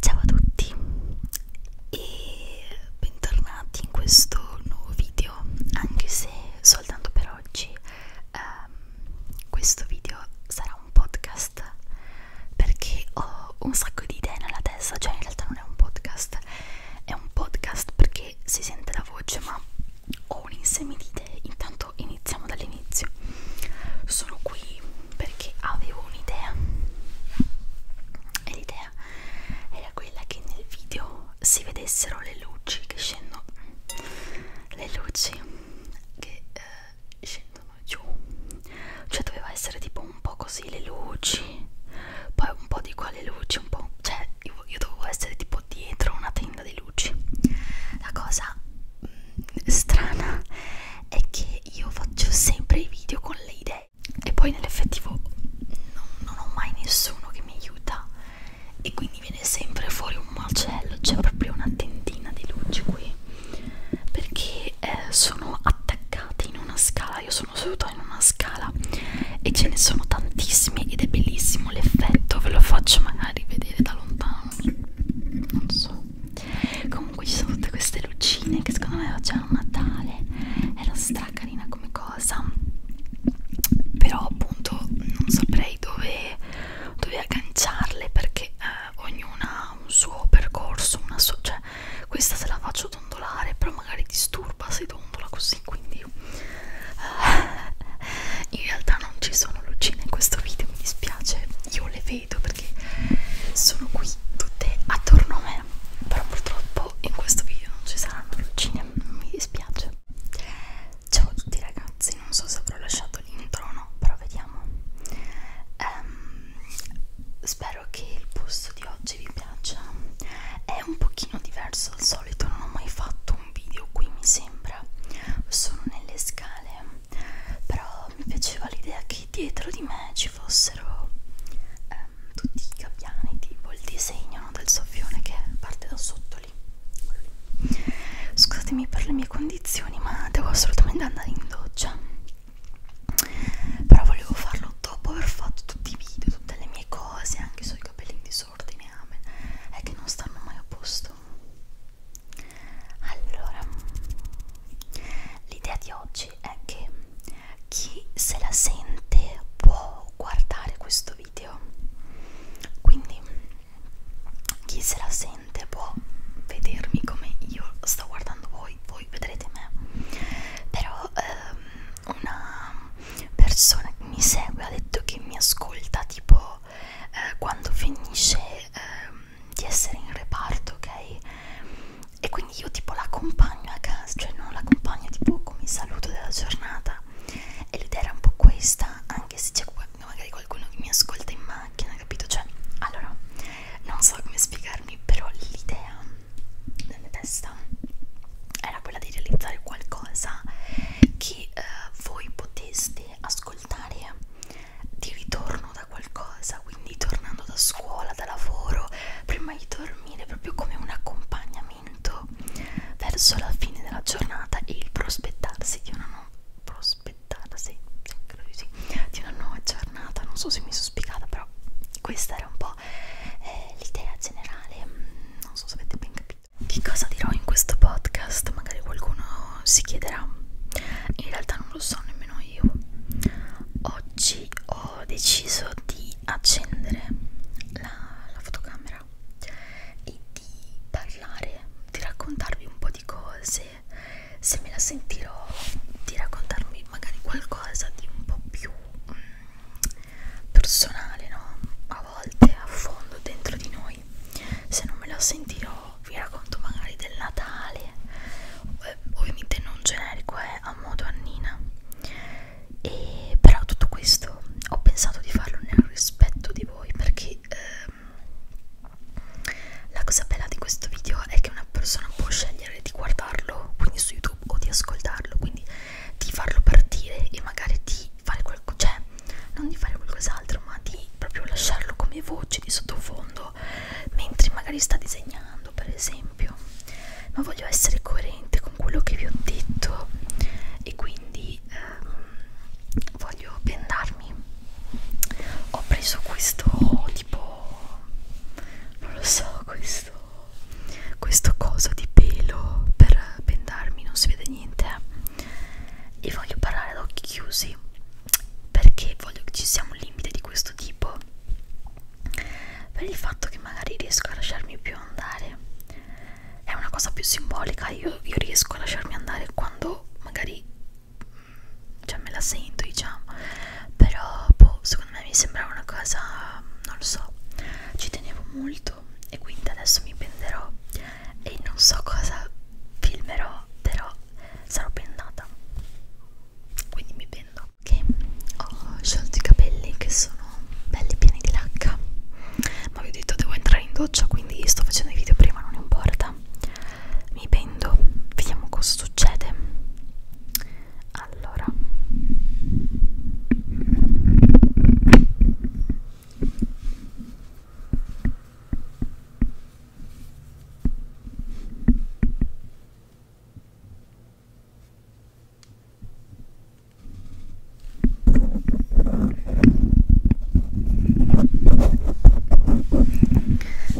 Ciao a tutti e bentornati in questo nuovo video, anche se soltanto per oggi um, questo video sarà un podcast perché ho un sacco di idee nella testa, cioè in realtà non è un podcast, è un podcast perché si sente la voce ma ho un insieme di idee, intanto iniziamo dall'inizio. Sono qui perché avevo un'idea e l'idea era quella che nel video si vedessero le luci che scendono le luci che eh, scendono giù cioè doveva essere tipo un po' così le luci poi un po' di qua le luci un po' cioè io, io dovevo essere tipo dietro una tenda di luci la cosa strana è che io faccio sempre i video con le idee e poi nell'effettivo non, non ho mai nessuno che mi aiuta e quindi viene sempre fuori un macello c'è proprio una tentina di luci qui perché eh, sono attaccati in una scala io sono seduta in una scala e ce ne sono tantissimi ed è bellissimo l'effetto ve lo faccio magari vedere da lontano non so so comunque ci sono tutte queste lucine che secondo me facevano Natale era stra carina come cosa però appunto non saprei dove, dove agganciarle perché eh, ognuna ha un suo percorso una sua, cioè questa se la faccio dondolare però magari disturba se dondola così quindi eh, in realtà non ci sono lucine in questo video mi dispiace io le vedo per perché sono qui tutte attorno a me però purtroppo in questo video non ci saranno lucine mi dispiace ciao a tutti ragazzi non so se avrò lasciato l'intro o no però vediamo um, spero che il posto di oggi vi piaccia è un pochino diverso al solito non ho mai fatto un video qui mi sembra sono nelle scale però mi piaceva l'idea che dietro di me ci fossero ehm, tutti i gabbiani tipo il disegno no, del soffione che parte da sotto lì. lì scusatemi per le mie condizioni ma devo assolutamente andare in doccia però volevo farlo dopo aver fatto tutti i video tutte le mie cose anche sui capelli in disordine amen è che non stanno mai a posto allora, l'idea di oggi è che chi se la sente può guardare questo video. Quindi chi se la sente può vedermi come io sto guardando voi, voi vedrete me. Però ehm, una persona che mi segue ha detto che mi ascolta tipo eh, quando finisce ehm, di essere in reparto, ok? E quindi io tipo l'accompagno a casa, cioè non l'accompagno tipo come saluto della giornata. E l'idea era un po' questa, anche se c'è magari qualcuno che mi ascolta in macchina, capito? Cioè, allora, non so come spiegarmi, però l'idea nella mia testa era quella di realizzare qualcosa che eh, voi poteste ascoltare ascoltare di ritorno da qualcosa, quindi tornando da scuola, da lavoro, prima di dormire, proprio come un accompagnamento verso la fine della giornata e il prospettarsi di una nuova prospettarsi sì, credo di, sì, di una nuova giornata. Non so se mi sono spiegata, però questa era un po' eh, l'idea generale, mm, non so se avete ben capito. Che cosa dirò in questo podcast? Magari qualcuno si chiederà. In realtà non lo so nemmeno almeno io oggi ho deciso di accendere la, la fotocamera e di parlare, di raccontarvi un po' di cose se me la sentirò di raccontarmi magari qualcosa di un po' più mm, personale no? a volte a fondo dentro di noi se non me la sentirò però vi racconto magari del Natale eh, ovviamente non generico è eh, a modo Annina e però tutto questo ho pensato di farlo nel rispetto di voi perché ehm, la cosa bella di questo video è che una persona può scegliere di guardarlo quindi su youtube o di ascoltarlo quindi di farlo partire e magari di fare qualcosa cioè non di fare qualcos'altro ma di proprio lasciarlo come voce di sottofondo quando mentre magari sta disegnando per esempio ma voglio essere coerente con quello che vi ho detto e quindi ehm, voglio bendarmi ho preso questo tipo non lo so questo questo coso di pelo per bendarmi non si vede niente eh? e voglio parlare ad occhi chiusi perché voglio che ci sia un limite di questo tipo per il fatto che magari riesco a lasciarmi più andare è una cosa più simbolica io, io riesco a lasciarmi andare quando magari mm, cioè me la sento diciamo però boh, secondo me mi sembrava una cosa non lo so ci tenevo molto e quindi adesso mi penderò e non so cosa filmerò però sarò pendata quindi mi pendo che ho sciolto i capelli che sono belli pieni di lacca ma vi ho detto devo entrare in doccia quindi sto facendo i video prima non importa mi pendo vediamo cosa succede allora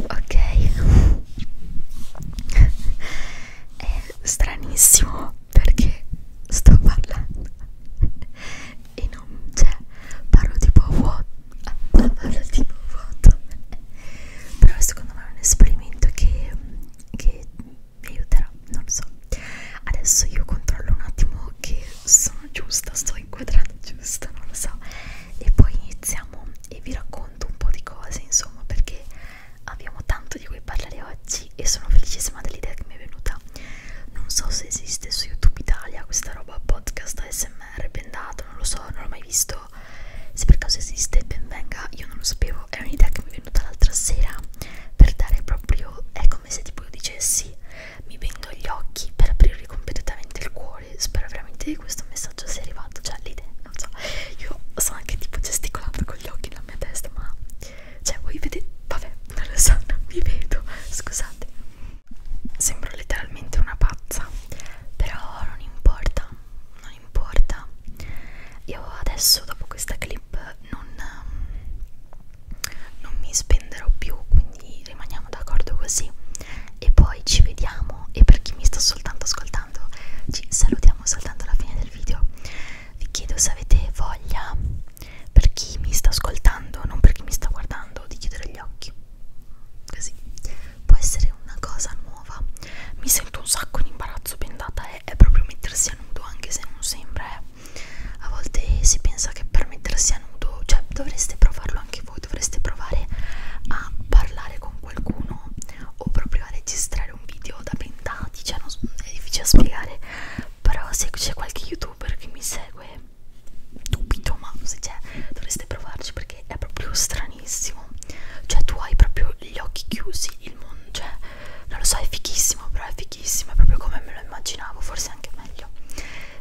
Ok, è stranissimo perché sto parlando e non c'è, parlo tipo vuoto ah, la mano tipo vuoto però secondo me è un esperimento che, che mi aiuterà non lo so adesso io controllo un attimo che sono giusta sto inquadrando giusto non lo so e poi iniziamo e vi racconto un po' di cose insomma perché abbiamo tanto di cui parlare oggi e sono felicissima dell'idea che mi è venuta non so se esiste su youtube italia questa roba podcast ASMR ASMR bendato, non lo so, non l'ho mai visto. Se per caso esiste, ben venga, io non lo sapevo. È un'idea che mi è venuta l'altra sera per dare proprio. È come se tipo io dicessi: Mi vendo gli occhi per aprirvi completamente il cuore. Spero veramente che questo messaggio sia arrivato. Cioè, l'idea, non so, io sto anche tipo gesticolando con gli occhi nella mia testa, ma. Cioè, voi vedete. Vabbè, non lo so, non vi vedo. Scusate sembro letteralmente una pazza però non importa non importa io adesso dopo questa clip non, ehm, non mi spenderò più quindi rimaniamo d'accordo così e poi ci vediamo e per chi mi sta soltanto ascoltando ci salutiamo soltanto alla fine del video vi chiedo se avete voglia per chi mi sta ascoltando non per chi mi sta guardando di chiudere gli occhi così può essere una cosa nuova mi sento un sacco in imbarazzo bendata è, è proprio mettersi a nudo anche se non sembra eh. a volte si pensa che per mettersi a nudo cioè dovreste provarlo anche voi dovreste provare a parlare con qualcuno o proprio a registrare un video da bendati cioè non, è difficile spiegare però se c'è qualche youtuber che mi segue dubito ma se c'è dovreste provarci perché è proprio stranissimo cioè tu hai proprio gli occhi chiusi il mondo cioè non lo so è fichissimo però è fichissimo è proprio come me lo immaginavo forse anche meglio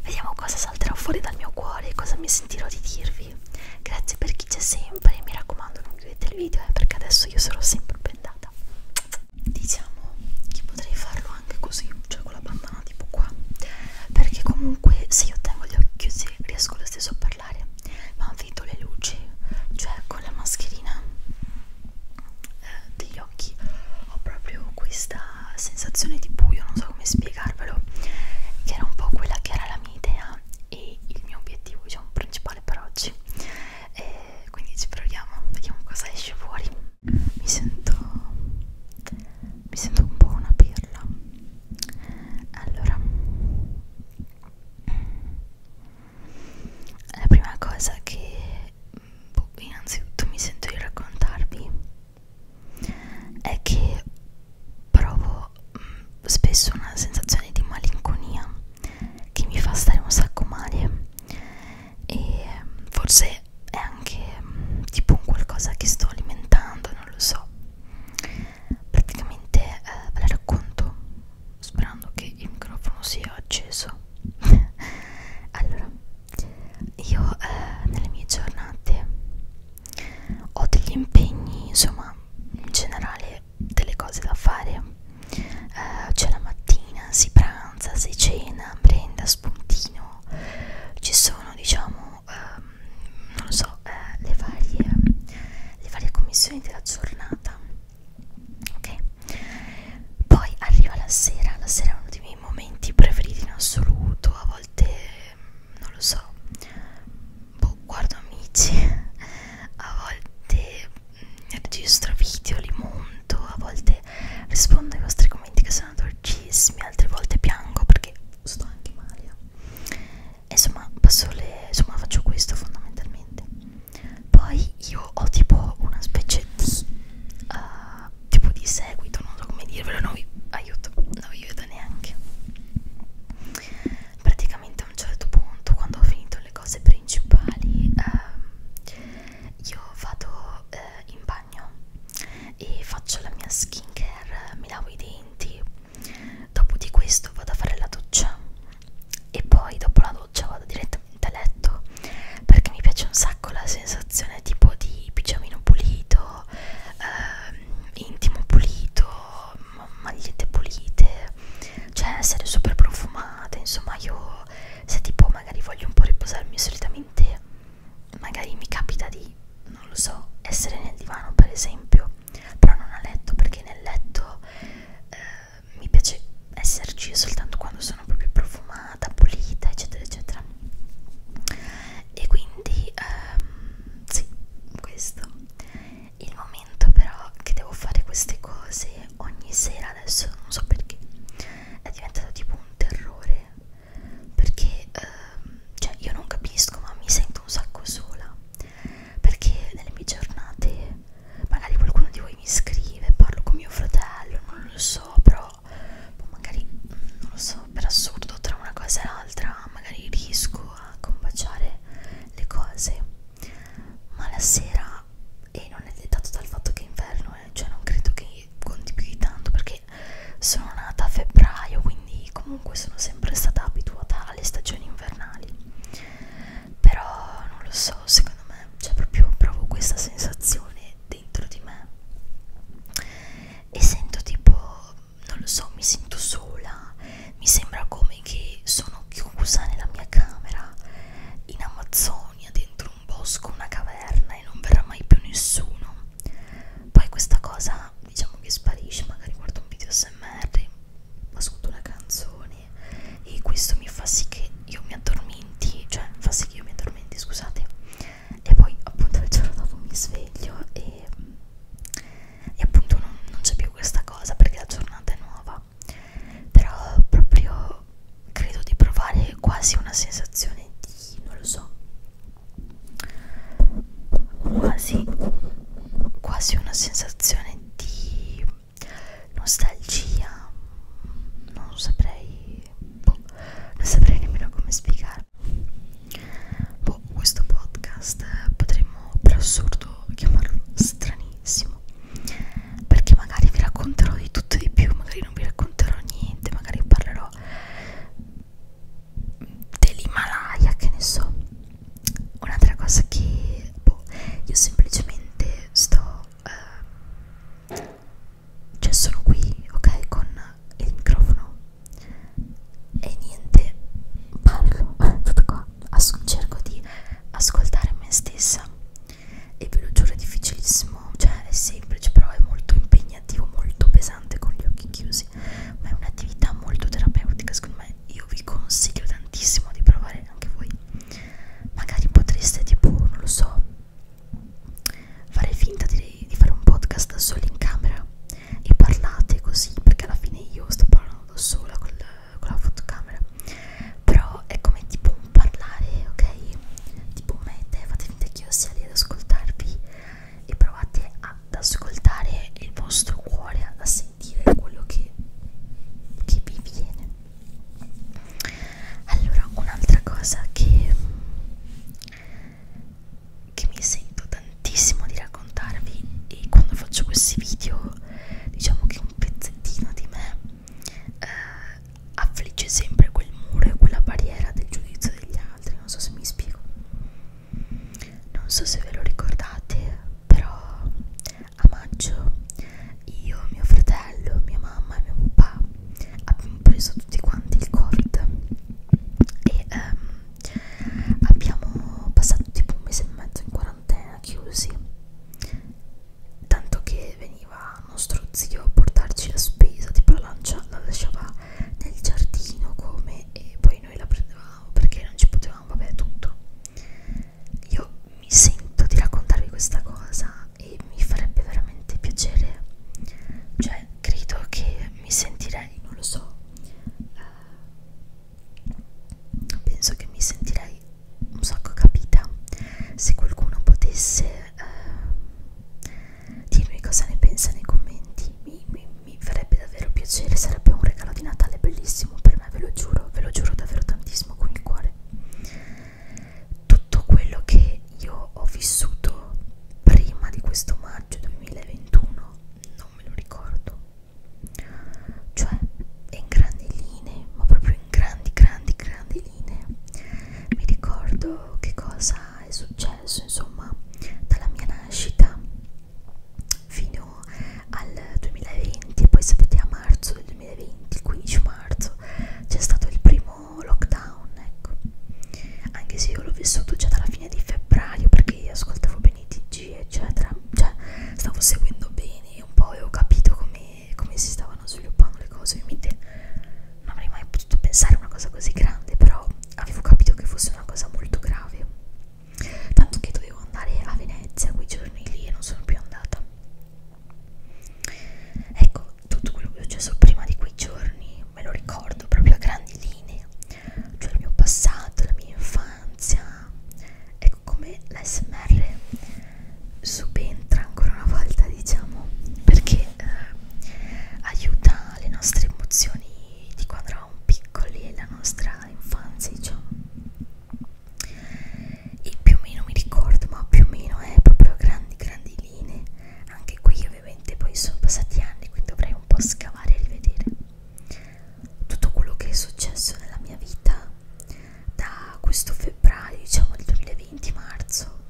vediamo cosa salterà fuori dal mio cuore e cosa mi sentirò di dirvi grazie per chi c'è sempre mi raccomando non chiudete il video eh, perché adesso io sarò sempre pendata diciamo che potrei farlo anche così cioè con la bandana tipo qua perché comunque se io tengo gli occhi chiusi riesco lo stesso a parlare ma vedo le luci cioè con la mascherina eh, degli occhi ho proprio questa sensazione di buio non so come spiegarvelo che era un po' quella che era la mia idea e il mio obiettivo diciamo principale per oggi e eh, quindi ci proviamo vediamo cosa esce fuori mi sento mi sento un po' una pirla allora la prima cosa che boh, innanzitutto mi sento di raccontarvi è che provo mh, mm, spesso una sensazione di malinconia che mi fa stare un sacco male e mm, forse è anche mh, mm, tipo un qualcosa che sto alimentando, non lo so. Praticamente eh, ve la racconto sperando che il microfono sia acceso. allora, io eh, nelle mie giornate ho degli impegni, insomma, in generale delle cose da fare. Eh, C'è la mattina, si pranza, si cena, prenda, spuntino. Ci sono, diciamo, sono ehm, non so, eh, le, varie, le varie commissioni della giornata ok poi arriva la sera la sera è uno dei miei momenti preferiti in assoluto a volte non lo so boh, guardo amici a volte mm, registro video li monto a volte rispondo ai vostri commenti che sono dolcissimi bellissimi, altre volte piango perché sto anche male. Insomma, passo le, insomma, faccio questo fondamentalmente. Poi io ho tipo una specie di uh, tipo di seguito, non so come dirvelo, non vi aiuto, non vi vedo neanche. Praticamente a un certo punto, quando ho finito le cose principali, uh, io vado uh, in bagno e faccio la mia skincare, mi lavo i denti, dopo di questo vado a fare la doccia e poi dopo la doccia vado direttamente a letto perché mi piace un sacco la sensazione tipo di pigiamino pulito, eh, intimo pulito, magliette pulite, cioè essere super profumata, insomma io se tipo magari voglio un po' riposarmi solitamente magari mi capita di, non lo so, essere nel divano per esempio, però non a letto perché nel letto eh, mi piace esserci soltanto quando sono proprio profumata, pulita, eccetera, eccetera. E quindi, ehm, sì, questo. Il momento però che devo fare queste cose ogni sera adesso, non so perché, è diventato tipo un terrore perché ehm, cioè io non capisco ma mi sento un sacco sola perché nelle mie giornate magari qualcuno di voi mi scrive parlo con mio fratello non lo so però magari non lo so per assurdo tra una cosa e l'altra magari riesco a combaciare le cose ma la sera e non è dettato dal fatto che è inverno eh, cioè non credo che di, di più di tanto perché sono nata a febbraio quindi comunque sono sempre stata abituata alle stagioni invernali però non lo so secondo me c'è proprio provo questa sensazione dentro di me e sento tipo non lo so mi sento sola mi sembra come che sono chiusa nella mia camera in Amazzonia dentro un bosco una caverna e non verrà mai più nessuno poi questa cosa diciamo che sparisce magari guardo un video smr ascolto una canzone e questo mi fa sì che io mi addormenti cioè fa sì che io mi addormenti scusate e poi appunto il giorno dopo mi sveglio e, e appunto non, non c'è più questa cosa perché la giornata è nuova però proprio credo di provare quasi una sensazione di non lo so quasi, quasi una sensazione di nostalgia non saprei boh, non saprei nemmeno come spiegarlo boh, questo podcast potremmo per assurdo chiamarlo stranissimo perché magari vi racconterò di tutto e di più magari non vi racconterò niente magari parlerò dell'Himalaya, che ne so. Un'altra cosa che boh, io semplicemente sto, eh, cioè sono qui, ok, con il microfono e niente, parlo, tutto qua, As cerco di ascoltare me stessa e ve lo giuro è difficilissimo, cioè è semplice però è molto impegnativo impegnativo, molto pesante con gli occhi chiusi, ma è un'attività molto terapeutica, secondo me io vi consiglio tantissimo di provare anche voi. Magari potreste tipo, non lo so, fare finta di, di fare un podcast da soli in camera e parlate così, perché alla fine io sto parlando da sola col, con la fotocamera. Però è come tipo un parlare, ok? Tipo me e te, fate finta che io sia lì ad ascoltarvi e provate ad ascoltare il vostro cuore, a sentire quello che, che vi viene. Allora, un'altra cosa che, che mi sento tantissimo di raccontarvi e quando faccio questi video, diciamo che un pezzettino di me eh, affligge sempre quel muro e quella barriera del giudizio degli altri altri, non so se mi spiego. Non so se ve lo ricordate, però a maggio io, mio fratello, mia mamma e mio papà abbiamo preso tutti quanti il covid e ehm, abbiamo passato tipo un mese e mezzo in quarantena chiusi tanto che veniva nostro zio a portarci la spesa tipo la lancia la lasciava nel giardino come e poi noi la prendevamo perché non ci potevamo vabbè tutto io mi sento di raccontarvi questa cosa e mi farebbe veramente piacere cioè credo che mi sentirei non lo so eh, penso che mi sentirei un sacco capita se qualcuno potesse eh, dirmi cosa ne pensa nei commenti mi, mi, mi farebbe davvero piacere sarebbe un regalo di Natale bellissimo per me ve lo giuro ve lo giuro davvero tantissimo con il cuore tutto quello che io ho vissuto prima di questo maggio 2021 non me lo ricordo cioè in grandi linee ma proprio in grandi grandi grandi linee mi ricordo che cosa è successo successo insomma dalla mia nascita fino al 2020 poi sapete a marzo del 2020 il 15 marzo c'è stato il primo lockdown ecco anche se io l'ho vissuto già dalla fine di febbraio perché io ascoltavo bene i tg eccetera cioè stavo seguendo bene un po' e ho capito come, come si stavano sviluppando le cose ovviamente non avrei mai potuto pensare a una cosa così grande però avevo capito che fosse una cosa molto grave tanto che dovevo andare a Venezia quei giorni lì e non sono più andata ecco tutto quello che è successo prima di quei giorni me lo ricordo proprio a grandi linee cioè il mio passato, la mia infanzia ecco come l'ASMR subentra ancora una volta diciamo perché eh, aiuta nostra, le nostre emozioni di quando eravamo piccoli e la nostra infanzia diciamo e più o meno mi ricordo ma più o meno è eh, proprio grandi grandi linee anche qui ovviamente poi sono passati anni quindi dovrei un po' scavare e rivedere tutto quello che è successo nella mia vita da questo febbraio diciamo del 2020 marzo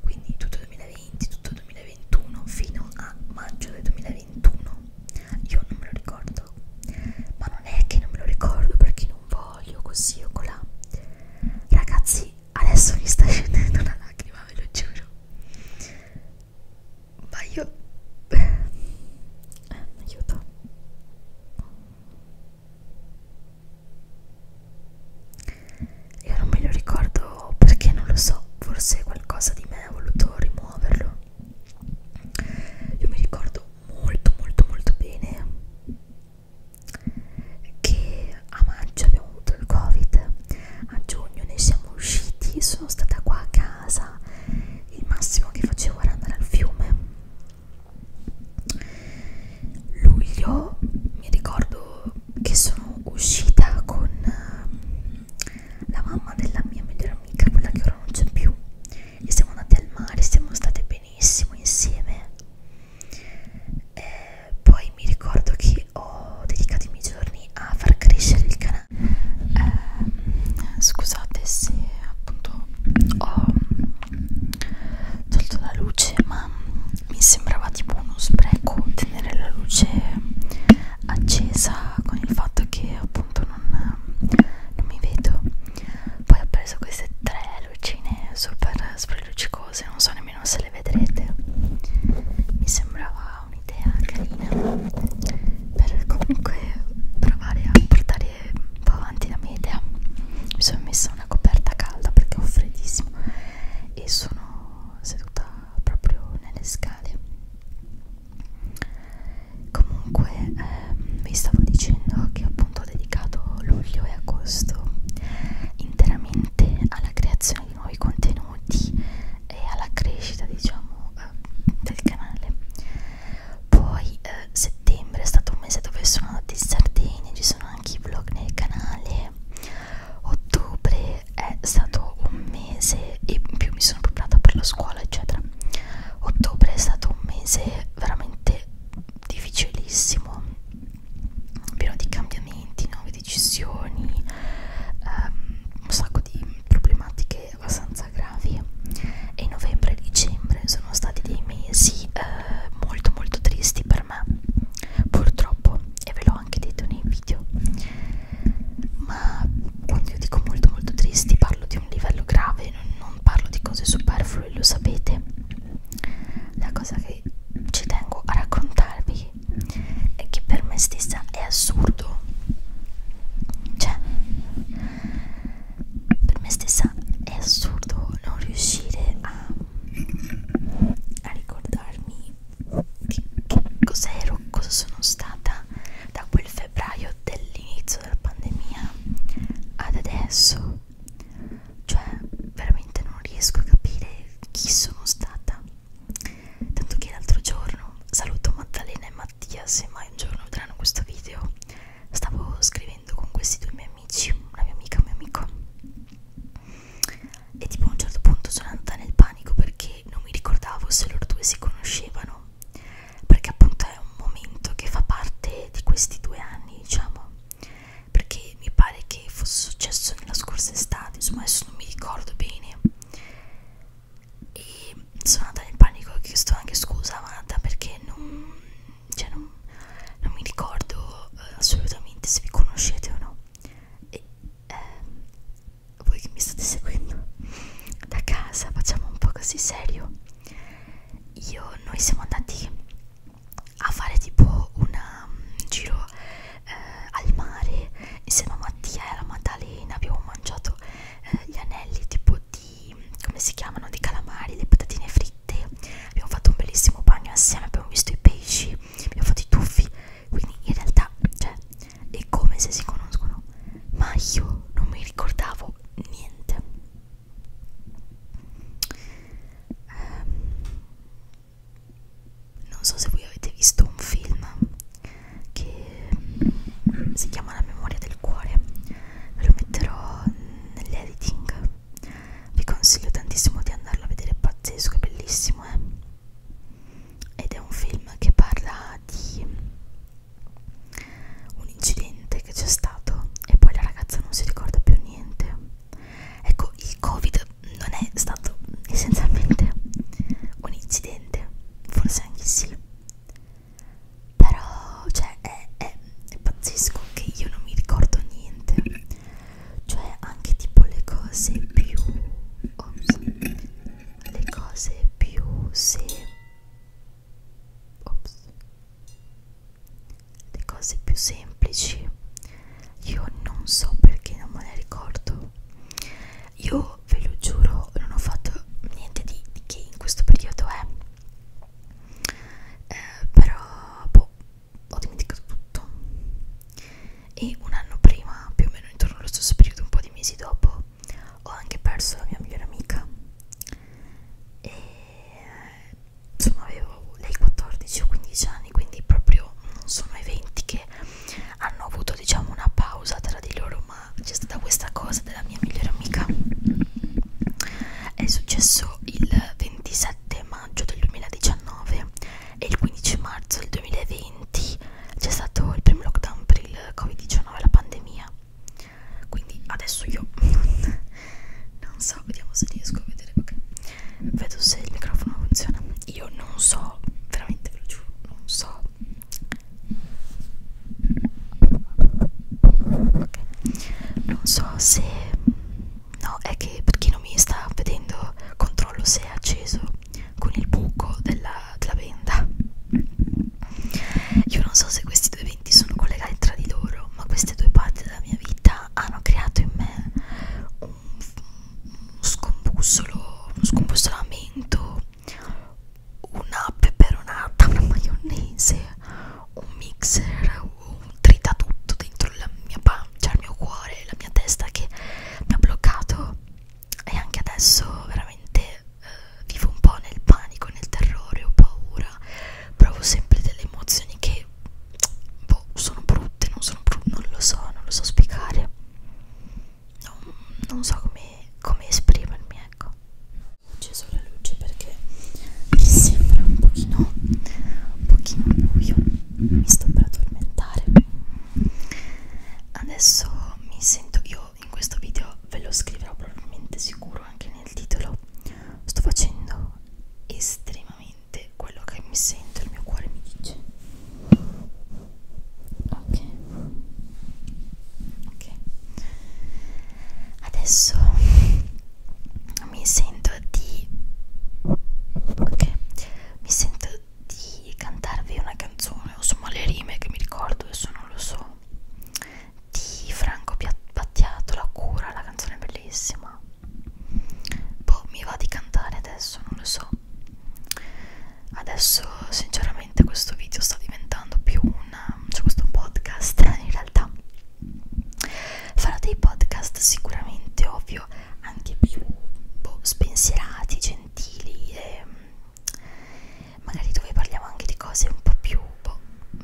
quindi tutto 2020, tutto 2021 fino a maggio del 2021 io non me lo ricordo ma non è che non me lo ricordo perché non voglio così o colà ragazzi adesso mi sta scendendo una lacrima ve lo giuro ma io eh, aiuto io non me lo ricordo perché non lo so forse qualcosa di me ha voluto rimuoverlo io mi ricordo molto molto molto bene che a maggio abbiamo avuto il covid a giugno ne siamo usciti sono stata qua a casa il massimo che facevo era andare al fiume luglio mi ricordo che sono uscita con uh, la mamma della mia migliore amica, quella che ora non c'è più, e siamo andati al mare, siamo state benissimo insieme. E poi mi ricordo che ho dedicato i miei giorni a far crescere il canale. Eh, scusate se appunto ho tolto la luce, ma mi sembrava tipo uno spreco tenere la luce accesa con il fatto che appunto non, non mi vedo poi ho preso queste tre lucine super spelluccicose non so nemmeno se le vedrete mi sembrava un'idea carina per comunque provare a portare un po' avanti la mia idea mi sono messa una coperta calda perché ho freddissimo e sono seduta proprio nelle scale comunque ehm, vi stavo dicendo che appunto ho dedicato luglio e agosto interamente alla creazione di nuovi contenuti e alla crescita diciamo eh, del canale poi eh, settembre è stato un mese dove sono andata in Sardegna ci sono anche i vlog nel canale ottobre è stato un mese e in più mi sono preparata per la scuola eccetera ottobre è stato un mese veramente difficilissimo pieno di cambiamenti nuove decisioni um, un sacco di problematiche abbastanza gravi e novembre e dicembre sono stati dei mesi eh, molto molto tristi per per me purtroppo e ve l'ho anche detto nei video ma quando io dico molto molto tristi parlo di un livello grave non, non parlo di cose superflue lo sapete la cosa che ci tengo a raccontarvi è che per me stessa è assurdo cioè per me stessa è assurdo non riuscire a, a ricordarmi che, che cos'ero, cosa sono stata da quel febbraio dell'inizio della pandemia ad adesso cioè veramente non riesco a capire chi sono stata tanto che l'altro giorno saluto Maddalena e Mattia se mai un giorno vedranno questo video stavo scrivendo con questi due miei amici una mia amica e un mio amico e tipo a un certo punto sono andata nel panico perché non mi ricordavo se loro due si conoscevano perché appunto è un momento che fa parte di questi due anni diciamo perché mi pare che fosse successo nella scorsa estate insomma adesso non mi ricordo bene e sono andata nel panico e ho chiesto anche scusa a Amanda perché non, cioè non, non mi ricordo eh, assolutamente se vi conoscete o no e ehm, voi che mi state seguendo da casa facciamo un po' così serio io noi siamo andati a fare tipo una, un um, giro eh, al mare insieme a Mattia e alla Maddalena abbiamo mangiato eh, gli anelli tipo di come si chiamano di calamari le patatine fritte abbiamo fatto un bellissimo bagno assieme abbiamo visto i pesci mi ho fatto i tuffi quindi in realtà cioè è come se si conoscono ma io non mi ricordavo niente ehm, non so se voi avete visto un film che mm, si chiama La memoria del cuore ve lo metterò nell'editing vi consiglio tantissimo di andarlo a vedere, è pazzesco, è bellissimo eh? ed è un film che parla di un incidente che c'è stato e poi la ragazza non si ricorda più niente ecco il covid non è stato essenzialmente un incidente forse anche sì però cioè è, è, è pazzesco che io non mi ricordo niente cioè anche tipo le cose più ops, le cose più se ops, le cose più semplici io non so perché non me le ricordo io ve lo giuro non ho fatto niente di, di che in questo periodo è eh. eh, però boh, ho dimenticato tutto e un anno prima, più o meno intorno allo stesso periodo, un po' di mesi dopo, ho anche perso la mia migliore amica e insomma avevo lei 14 o 15 anni, quindi proprio non sono eventi che hanno avuto diciamo una pausa tra di loro, ma c'è stata questa cosa della mia migliore amica. È successo il 27 maggio del 2019 e il 15 marzo del 2020 c'è stato il primo lockdown per il covid-19 la pandemia quindi adesso io non so vediamo se riesco a vedere okay. vedo se il microfono funziona io non so veramente ve lo giuro non so okay. non so se No, è che per chi non mi sta vedendo, controllo se è acceso con il buco della, della venda. Io non so se questi due eventi sono collegati tra di loro, ma queste due parti della mia vita hanno creato in me un, un scombussolo, un scombussolamento, una peperonata, una maionese, un mixer, un tritatutto dentro la mia pancia, cioè il mio cuore, la mia testa che mi ha bloccato e anche adesso veramente eh, vivo un po' nel panico, nel terrore, ho paura, provo sempre delle emozioni che boh, sono brutte, non, sono bru non lo so, non lo so spiegare, non, non so come, come esprimermi, ecco. Ho acceso la luce perché mi sembra un pochino, un pochino buio mi sto per addormentare adesso mi sento io in questo video ve lo scriverò probabilmente sicuro anche nel titolo sto facendo estremamente quello che mi sento il mio cuore mi dice ok ok adesso mi sento di ok mi sento di cantarvi una canzone o insomma le rime che mi ricordo adesso non lo so di Franco Battiato La cura la canzone è bellissima boh mi va di cantare adesso non lo so adesso sinceramente questo video sta diventando più un cioè questo podcast in realtà farò dei podcast sicuramente ovvio anche più boh, spensierati, gentili e mm, magari dove parliamo anche di cose un po' più boh,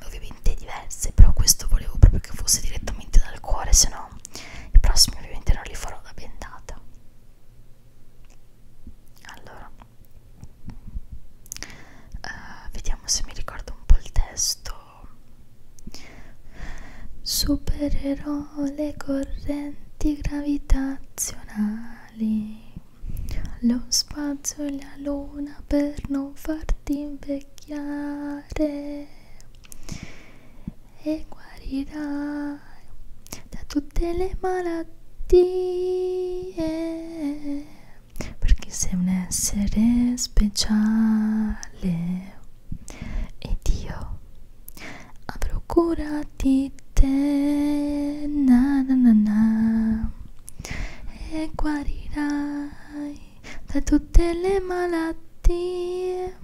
ovviamente diverse però questo volevo proprio che fosse direttamente dal cuore se no i prossimi ovviamente non li farò da bendata allora uh, vediamo se mi ricordo un po' il testo Supererò le correnti gravitazionali, lo spazio e la luna per non farti invecchiare e guarirai da tutte le malattie perché sei un essere speciale ed io avrò cura di te na na na na e guarirai da tutte le malattie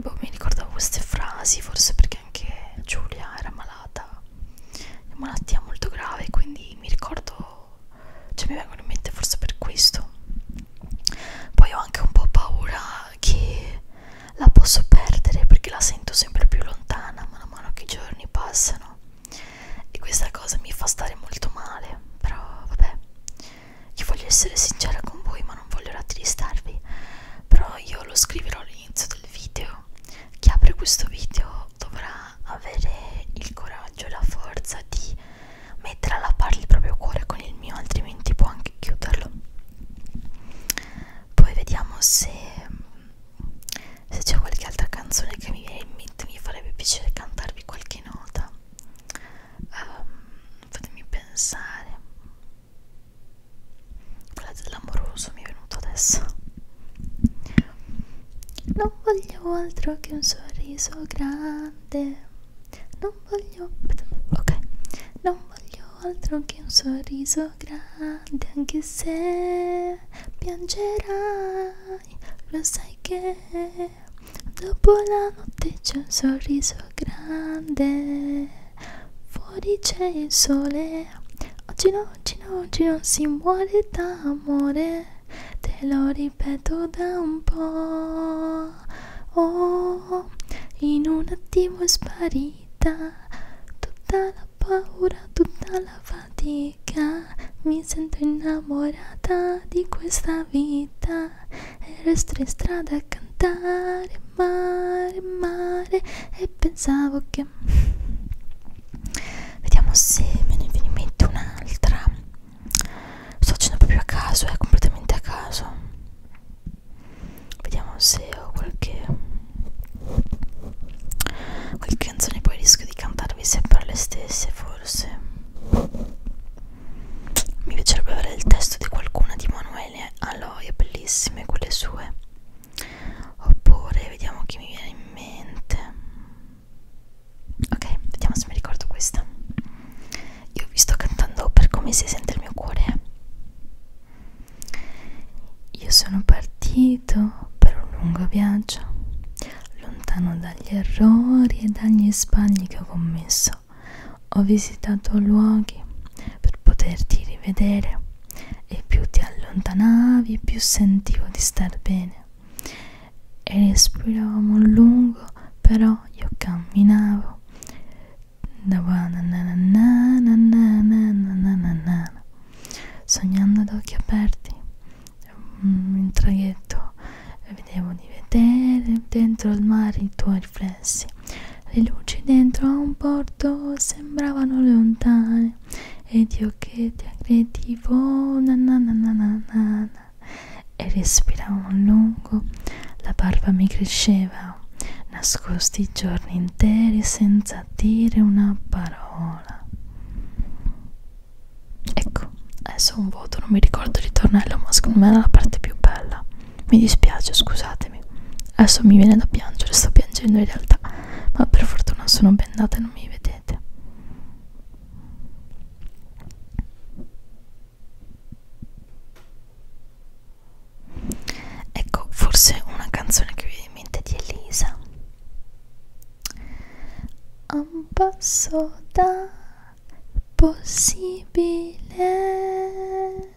boh mi ricordavo queste frasi forse perché anche Giulia era malata una malattia molto grave quindi mi ricordo cioè mi vengono in mente forse per questo poi ho anche un po' paura che la posso perdere perché la sento sempre più lontana man mano che i giorni passano e questa cosa mi fa stare molto male però vabbè io voglio essere sincera con voi ma non voglio rattristarvi però io lo scriverò all'inizio del video chi apre questo video dovrà avere il coraggio e la forza di mettere alla parte il proprio cuore con il mio altrimenti può anche chiuderlo poi vediamo se, se c'è qualche altra canzone che mi viene in mente mi farebbe piacere cantarvi qualche nota um, fatemi pensare quella dell'amoroso mi è venuto adesso non voglio altro che un sorriso grande grande non voglio ok non voglio altro che un sorriso grande anche se piangerai lo sai che dopo la notte c'è un sorriso grande fuori c'è il sole oggi no oggi no oggi non si muore d'amore te lo ripeto da un po' oh, in un attimo è sparita tutta la paura, tutta la fatica mi sento innamorata di questa vita e resto in strada a cantare mare, mare e pensavo che vediamo se me ne viene in mente un'altra sto facendo proprio a caso è eh, completamente a caso vediamo se ho qualche qualche canzone poi rischio di cantarvi sempre le stesse forse mi piacerebbe avere il testo di qualcuna di Manuele Aloia bellissime quelle sue oppure vediamo chi mi viene in mente ok vediamo se mi ricordo questa io vi sto cantando per come si sente il mio cuore io sono partito per un lungo viaggio lontano dagli errori e dagli sbagli che ho commesso ho visitato luoghi per poterti rivedere e più ti allontanavi più sentivo di star bene e respiravamo a lungo però io camminavo sognando ad occhi aperti in traghetto vedevo di vedere dentro il mare i tuoi riflessi le luci dentro a un porto sembravano lontane ed io che ti aggredivo na na na na na na e respiravo lungo, la barba mi cresceva, nascosti giorni interi senza dire una parola. Ecco, adesso un voto, non mi ricordo il ritornello, ma secondo me era la parte più bella. Mi dispiace, scusatemi. Adesso mi viene da piangere, sto piangendo in realtà, ma per fortuna sono bendata e non mi vedete. Ecco, forse una canzone che vi viene in mente di Elisa. Un passo da possibile,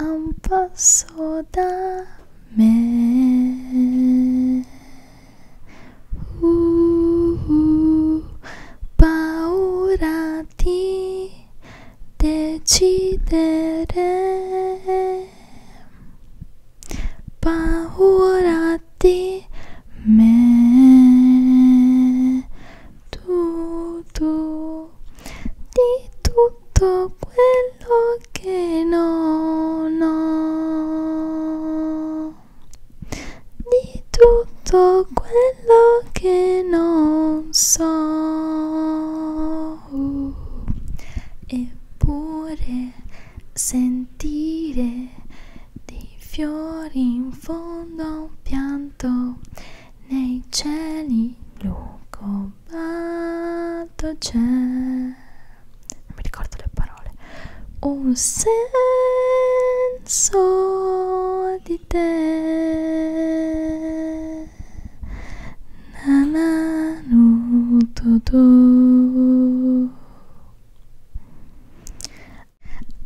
un passo da me. Uh, uh, paura di decidere, paura di me, tu, tu, di tutto quello che non ho di tutto quello che non so eppure sentire dei fiori in fondo a un pianto nei cieli lucobato c'è non mi ricordo le parole un senso di te nananu do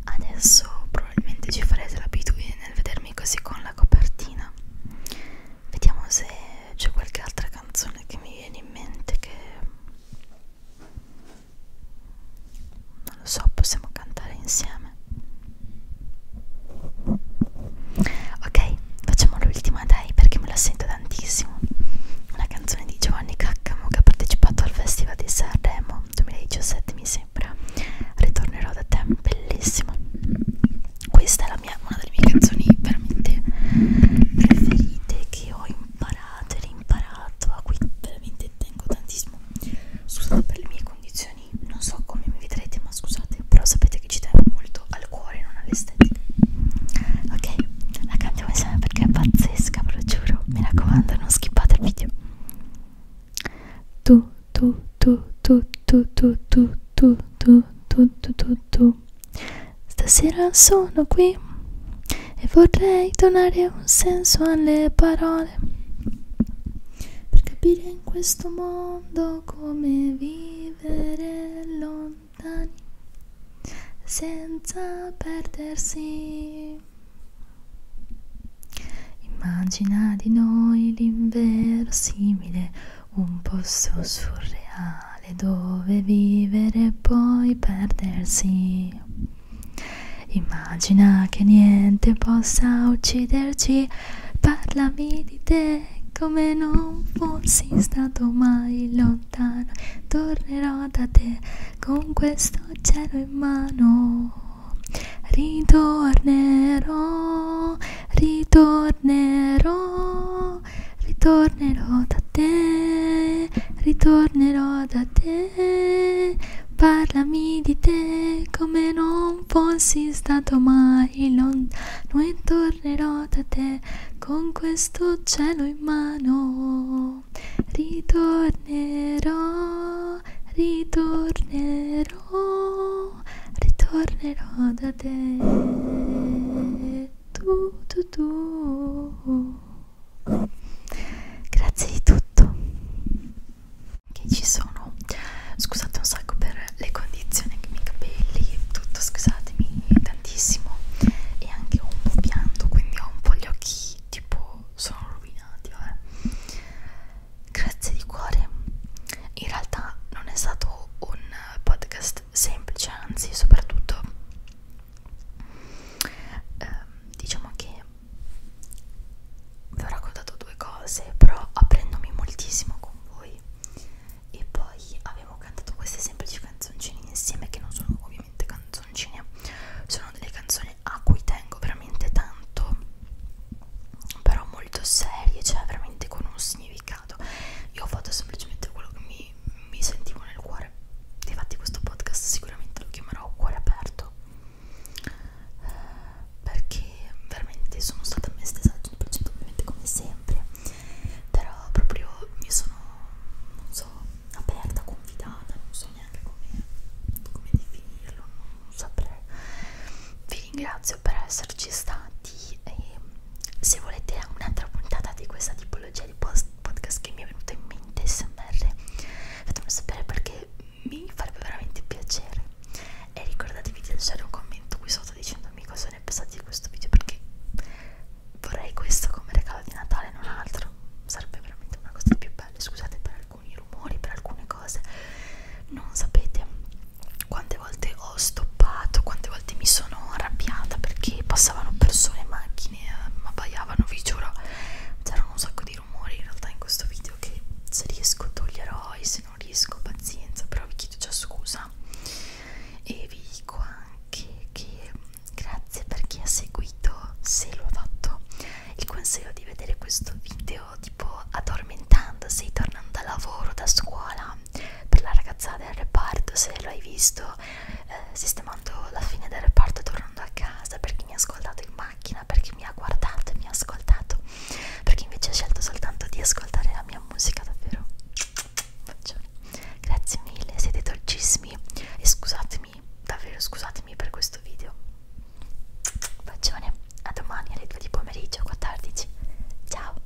adesso probabilmente ci farete l'abitudine nel vedermi così con la copertina vediamo se c'è qualche altra canzone che mi viene in mente che non lo so, possiamo cantare insieme. Ok, facciamo l'ultima dai perché me la sento tantissimo. Una canzone di Giovanni Caccamo che ha partecipato al Festival di Sanremo 2017 mi sembra. Ritornerò da te, bellissima. Questa è la mia, una delle mie canzoni veramente preferite che ho imparato e rimparato attua qui veramente tengo tantissimo scusate per le mie condizioni non so come mi vedrete ma scusate però sapete che ci tengo molto al cuore non all'estetica ok la cantiamo insieme perché è pazzesca ve lo giuro mi raccomando non skippate il video tu tu tu tu tu tu tu tu tu tu tu tu tu Stasera sono qui e vorrei donare un senso alle parole per capire in questo mondo come vivere lontani senza perdersi. Immagina di noi l'inverosimile, un posto surreale male dove vivere e poi perdersi. Immagina che niente possa ucciderci, parlami di te come non fossi stato mai lontano. Tornerò da te con questo cielo in mano. Ritornerò, ritornerò, ritornerò da te, ritornerò da te, parlami di te come non fossi stato mai lontano e tornerò da te con questo cielo in mano, ritornerò, ritornerò, ritornerò da te tu, tu, tu. Grazie di tutto. Che ci sono. Scusate un sacco per le condizioni che i miei capelli, tutto, scusatemi tantissimo. E anche un po' pianto, quindi ho un po' gli occhi tipo sono rovinati, vabbè. Grazie di cuore. In realtà non è stato un podcast semplice, anzi, soprattutto ehm, diciamo che vi ho raccontato due cose però aprendomi moltissimo con voi e poi avevo cantato queste semplici canzoncine insieme che non sono ovviamente canzoncine sono delle canzoni a cui tengo veramente tanto però molto serie cioè veramente con un significato io ho fatto semplicemente quello che mi, mi sentivo nel cuore cuore difatti questo podcast sicuramente lo chiamerò cuore aperto eh, perché veramente sono stata me stessa al 100% ovviamente come sempre però proprio io sono non so aperta confidata non so neanche come, come definirlo non saprei vi ringrazio per esserci stati e se volete un'altra puntata di questa tipo tipologia di post podcast che mi è venuta in mente smr fatemelo sapere perché mi farebbe veramente piacere e ricordatevi di lasciare un commento qui sotto dicendomi cosa ne pensate di questo video perché vorrei questo come regalo di Natale non altro sarebbe veramente una cosa più bella scusate per alcuni rumori per alcune cose non sapete quante volte ho stoppato quante volte mi sono arrabbiata perché passavano persone in macchina macchine ehm, abbaiavano, vi giuro c'erano un sacco di rumori in realtà in questo video che se riesco toglierò e se non riesco pazienza però vi chiedo già scusa e vi dico anche che ehm, grazie per chi ha seguito se lo ha fatto il consiglio di vedere questo video tipo addormentandosi tornando da lavoro da scuola per la ragazzata del reparto se l'hai visto eh, sistemando la fine del reparto tornando a casa per chi mi ha ascoltato in macchina, per chi mi ha guardato e mi ha ascoltato, per chi invece ha scelto soltanto di ascoltare la mia musica davvero. Faccione. Grazie mille, siete dolcissimi e scusatemi, davvero scusatemi per questo video. Bacione, a domani alle 2 di pomeriggio 14. Ciao!